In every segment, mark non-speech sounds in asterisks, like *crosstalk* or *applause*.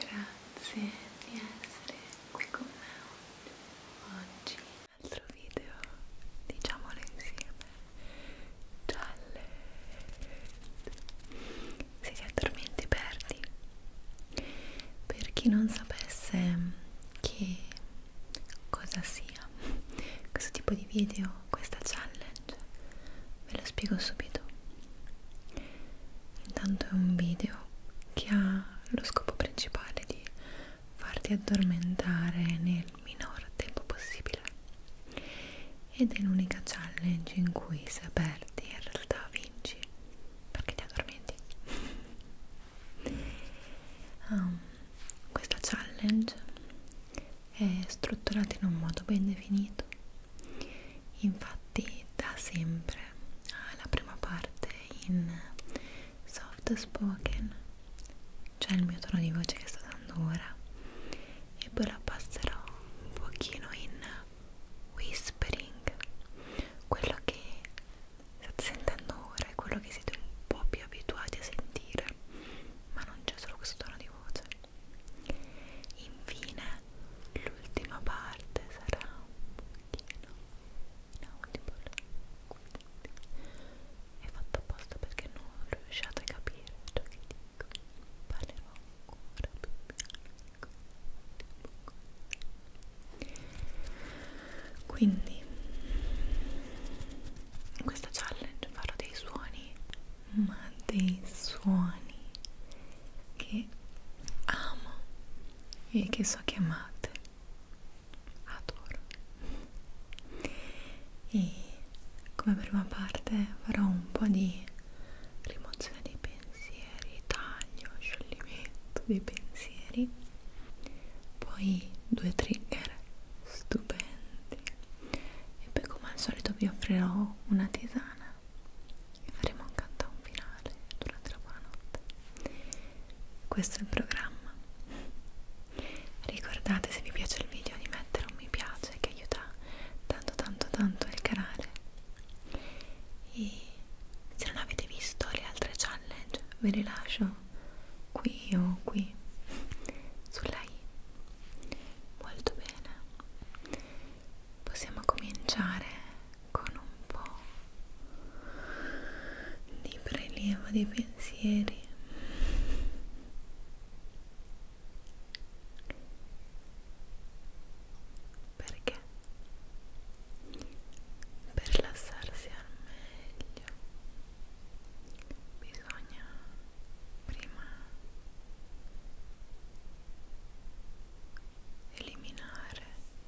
Grazie di essere qui con me oggi. altro video diciamolo insieme Challenge se ti addormenti perdi per chi non sapesse che cosa sia questo tipo di video questa challenge ve lo spiego subito intanto è un video che ha lo scopo principale di farti addormentare nel minor tempo possibile ed è l'unica challenge in cui se perdi in realtà vinci perché ti addormenti um, *laughs* questa challenge è strutturata in un modo ben definito infatti da sempre alla prima parte in soft spoken cioè il mio tono di voce che sto dando ora e poi la passerò un pochino in whispering quello che state sentendo ora è quello che siete un po' più abituati a sentire ma non c'è solo questo tono di voce infine l'ultima parte sarà un pochino inaudible quindi è fatto apposta perché non riusciate a capire ciò che dico parlerò ancora più bianco quindi in questa challenge farò dei suoni ma dei suoni che amo e che so che amate adoro e come prima parte farò un po' di rimozione dei pensieri taglio, scioglimento dei pensieri poi due trigger stupendi e poi come al solito vi offrirò una tisana e faremo un countdown finale durante la buona notte questo è il programma ricordate se vi piace il video di mettere un mi piace che aiuta tanto tanto tanto il canale e se non avete visto le altre challenge ve le lascio qui o qui sulla i molto bene possiamo cominciare con un po' di prelievo di pensieri perché per rilassarsi al meglio bisogna prima eliminare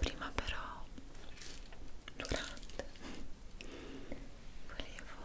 prima però durante volevo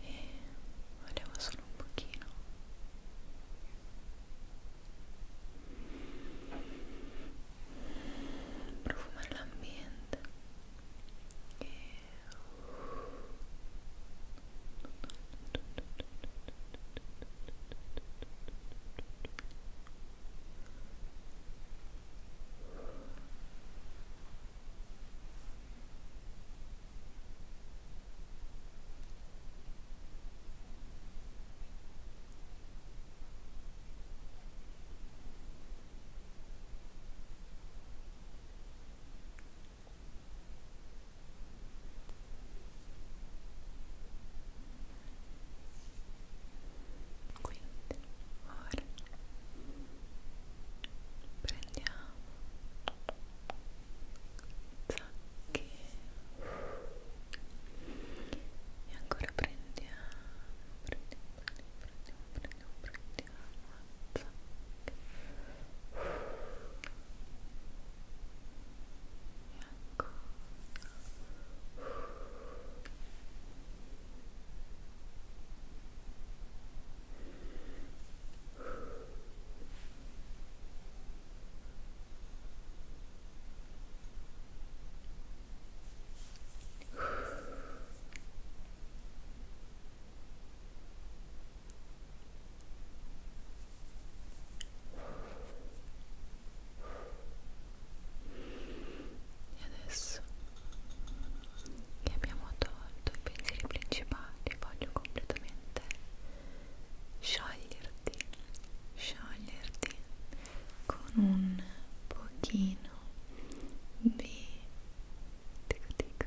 e volevo solo un poquito Profumar l'ambiente ambiente Quindi ora prendiamo zacche e ancora prendiamo prendiamo prendiamo prendiamo prendiamo zacche e ancora e ancora e adesso che abbiamo tolto i pensieri principali, voglio completamente scioglierti, scioglierti con un pochino di tic tic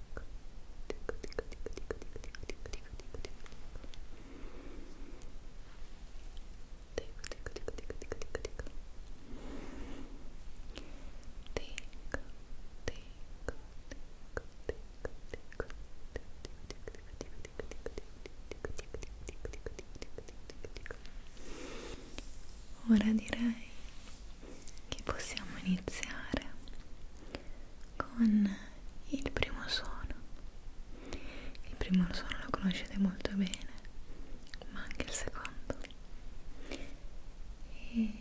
Ora direi che possiamo iniziare con il primo suono. Il primo suono lo conoscete molto bene, ma anche il secondo. E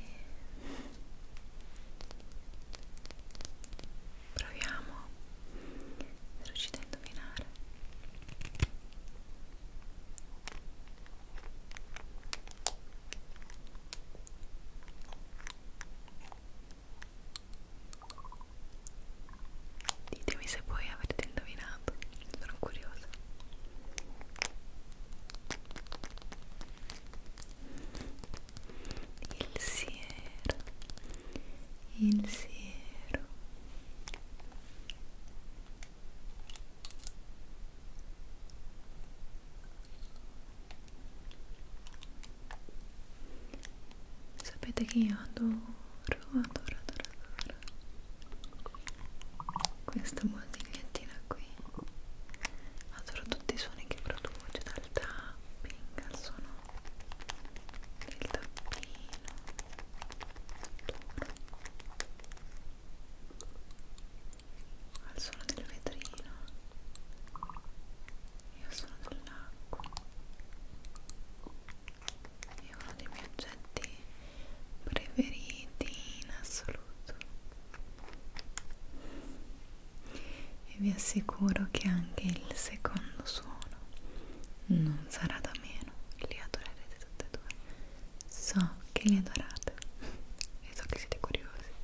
proviamo se riuscite a indovinare. Ditemi se voi avete indovinato, sono curiosa. Il siero, il siero sapete che io adoro adoro adoro adoro questa moltigliettina qui adoro tutti i suoni che produce dal tapping al suono del tappino adoro al suono del vetrino e al suono dell'acqua è uno dei miei oggetti preferiti in assoluto e vi assicuro che anche il secondo suono non sarà da meno li adorerete tutti e due so che li adorate e so che siete curiosi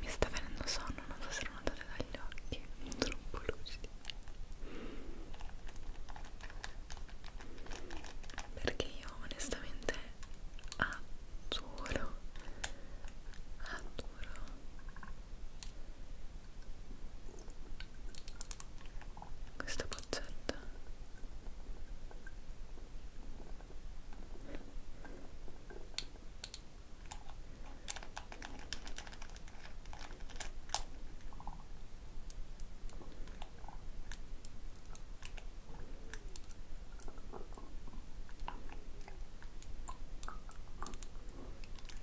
Mi sta venendo sonno, non so se lo notate dagli occhi, troppo lucidi. Perché io onestamente adoro, adoro questa boccetta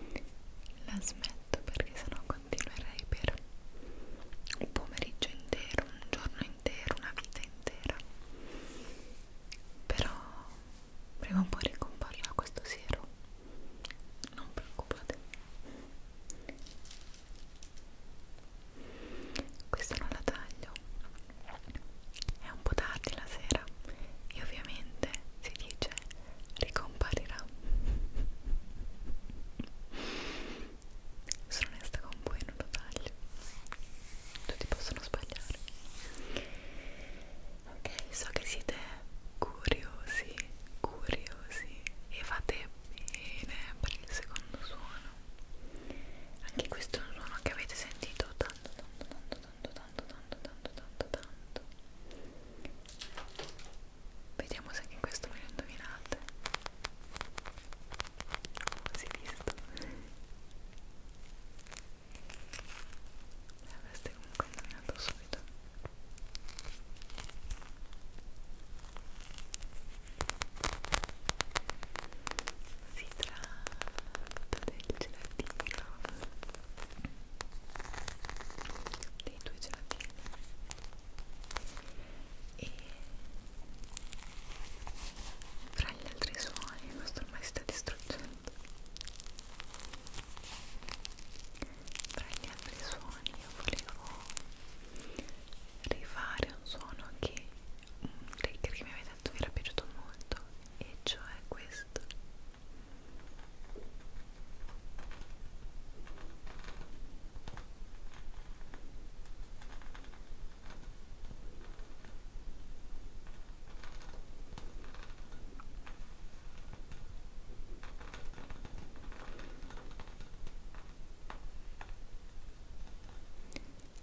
Ok, la smetto perché sennò continuerei per un pomeriggio intero, un giorno intero, una vita intera però prima o poi ricomparrà questo siero non preoccupate questa non la taglio è un po' tardi la sera e ovviamente si dice ricomparirà sono onesta con voi non lo taglio tutti possono sbagliare ok so che siete curiosi curiosi e fate bene per il secondo suono anche questo è un suono che avete sentito tanto tanto tanto tanto tanto tanto tanto tanto tanto Vediamo se anche questo me lo indovinate. Oh, si è visto. E avreste comunque indovinato subito. Si tratta del gelatino dei tuoi gelatini e fra gli altri suoni questo ormai si sta distruggendo fra gli altri suoni io volevo rifare un suono che un trigger che mi aveva detto mi era piaciuto molto e cioè questo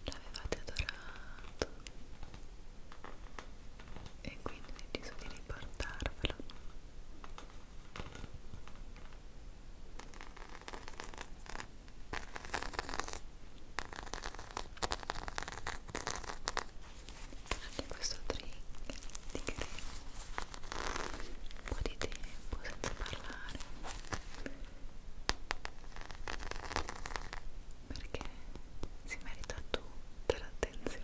L'avevate adorato e quindi ho deciso di riportarvelo anche questo drink di crema un po' di tempo senza parlare perché si merita tutta l'attenzione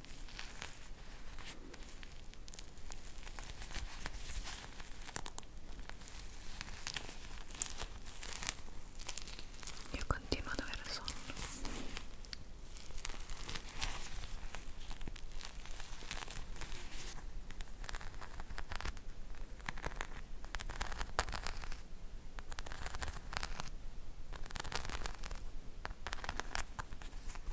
Io continuo ad avere sonno.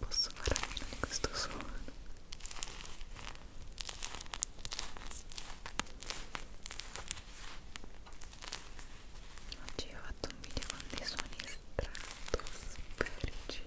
Posso fare a meno di questo suono? Oggi ho fatto un video con dei suoni stratosferici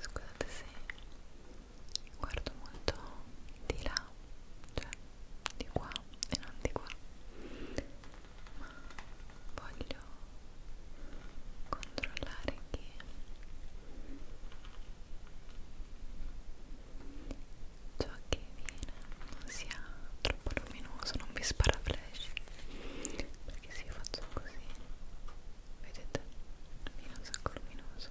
Scusate se guardo molto di là, cioè di qua e non di qua ma voglio controllare che ciò che viene non sia troppo luminoso non vi spara flash perché se io faccio così vedete viene un sacco luminoso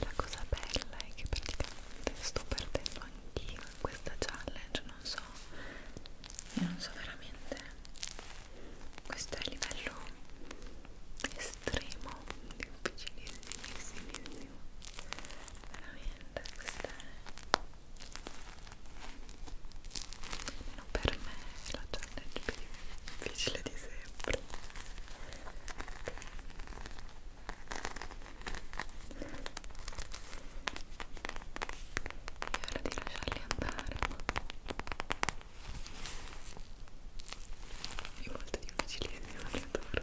La cosa bella è che praticamente sto perdendo anch'io in questa challenge, non so, io non so veramente, questo è il livello estremo, difficilissimissimo, veramente, questa è almeno per me la challenge più difficile di sempre è ora di lasciarli andare è molto difficilissimo, li adoro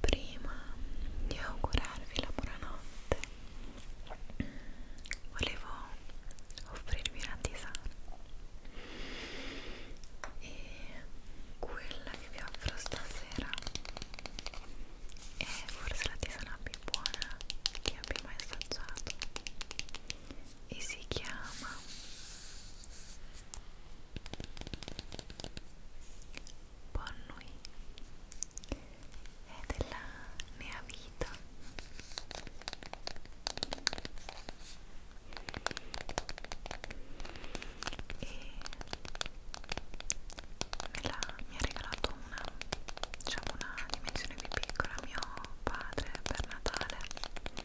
prima di augurarvi la buonanotte volevo offrirvi una tisana e quella che vi offro stasera è forse la tisana più buona che abbia mai assaggiato e si chiama Bonnui e della mia vita e me la, mi ha regalato una diciamo una dimensione più piccola mio padre per Natale e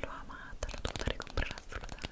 l'ho amata, l'ho dovuta ricomprare assolutamente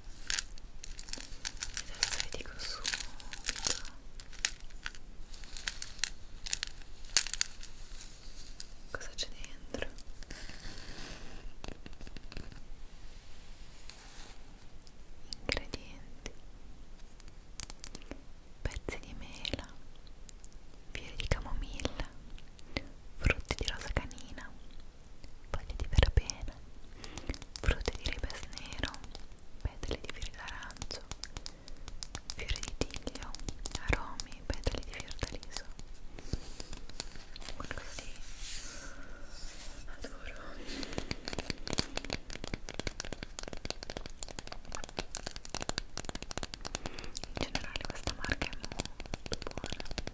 adesso vi dico subito cosa c'è dentro ingredienti pezzi di mela fiori di camomilla frutti di rosa canina foglie di verbena, frute di ribes nero, petali di fior d'arancio, fiori di tiglio, aromi, petali di fior d'aliso. Quello sì, adoro. In generale questa marca è molto buona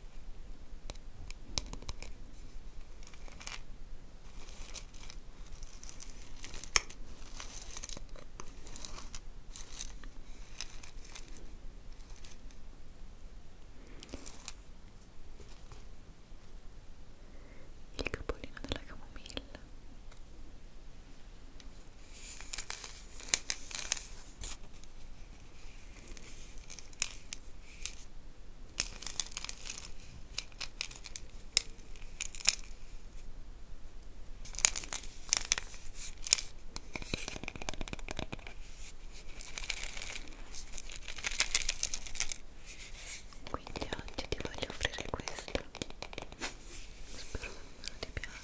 il capolino della camomilla quindi oggi ti voglio offrire questo. Spero che ti piaccia.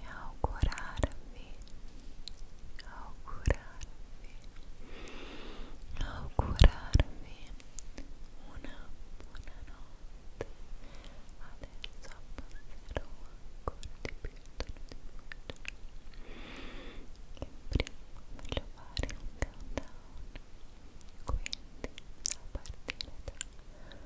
e augurarvi augurarvi augurarvi una buonanotte adesso abbasserò ancora di più il tono di voce e prima voglio fare un countdown quindi a partire da 1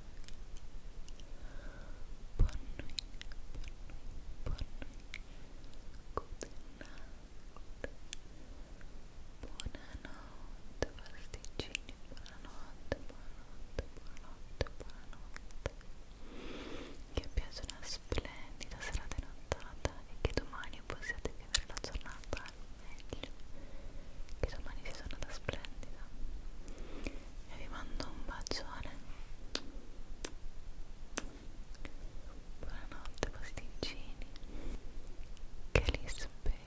buonanotte Che piace una splendida serata nottata e che domani possiate vivere la giornata al meglio Che domani vi sono da splendida e vi mando un bacione buonanotte pasticcini che li spero